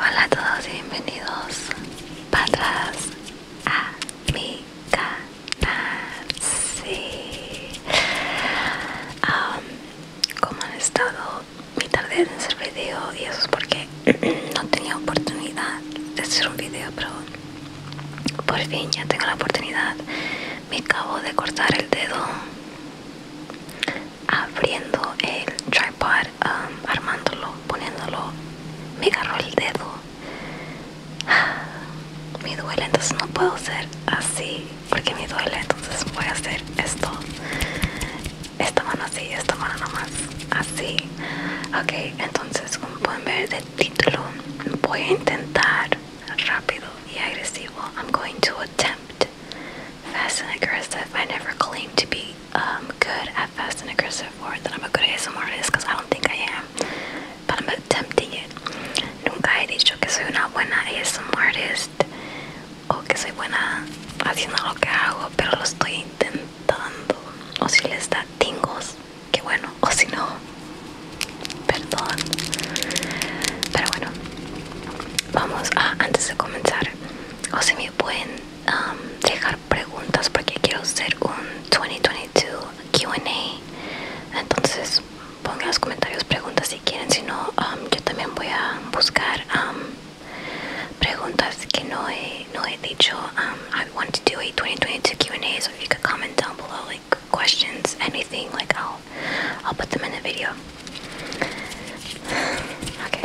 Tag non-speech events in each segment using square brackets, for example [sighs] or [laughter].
Hola a todos y bienvenidos para atrás a mi canal. Sí. Ah, ¿Cómo han estado? mi tarde en hacer video y eso es porque no tenía oportunidad de hacer un video, pero por fin ya tengo la oportunidad. Me acabo de cortar el dedo abriendo el tripod, um, armándolo, poniéndolo. Me agarró el dedo. [sighs] Me duele, entonces no puedo hacer así porque me duele, entonces voy a hacer esto esta mano así, esta mano nomás así. okay entonces como pueden ver de título, voy a intentar rápido y agresivo. I'm going to attempt fast and aggressive. I never claimed to be um, good at fast and aggressive or that I'm a good ASMR artist because I don't think I am. But I'm attempting it. Nunca he dicho que soy una buena ASMR artist o que soy buena haciendo lo que hago, pero lo estoy intentando o si les da tingos que bueno o si no perdón pero bueno vamos a antes de comenzar o si me pueden um, dejar preguntas porque quiero hacer un 2022 QA entonces pongan en los comentarios preguntas si quieren si no um, yo también voy a buscar um, preguntas que no he, no he dicho. Um, I want to do a 2022 Q&A, so if you could comment down below, like questions, anything, like I'll, I'll put them in the video. Okay.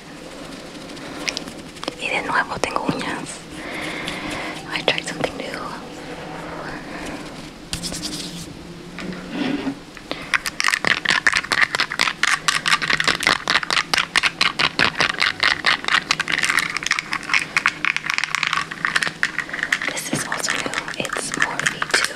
ver. Y de nuevo tengo I tried something new. This is also new. It's Morphe too.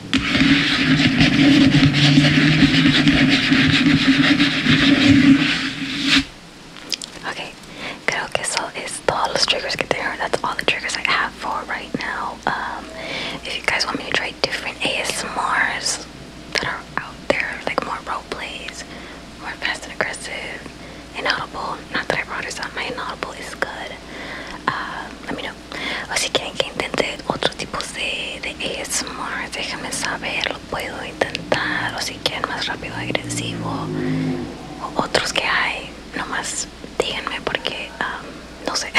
Okay, creo que eso all those triggers get there. That's all the triggers I have for right now. Um, if you guys want me to try different ASMRs that are out there, like more role plays, more fast and aggressive, inaudible. Not that I brought this up, my inaudible is good. Uh, let me know o si quieren que intente otro tipo de, de ASMR déjenme saber lo puedo intentar o si quieren más rápido agresivo otros que hay nomás díganme porque no sé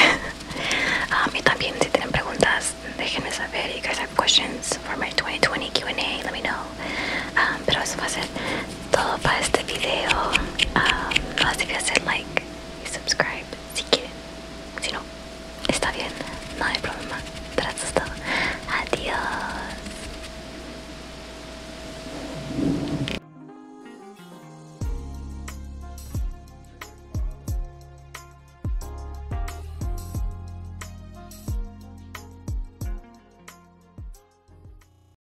A [laughs] y también si tienen preguntas déjenme saber you guys have questions for my 2020 Q&A let me know pero eso va a ser todo para este video. no um, que hacer like y subscribe si quieren. Si no, está bien, no hay problema. Pero eso Adiós.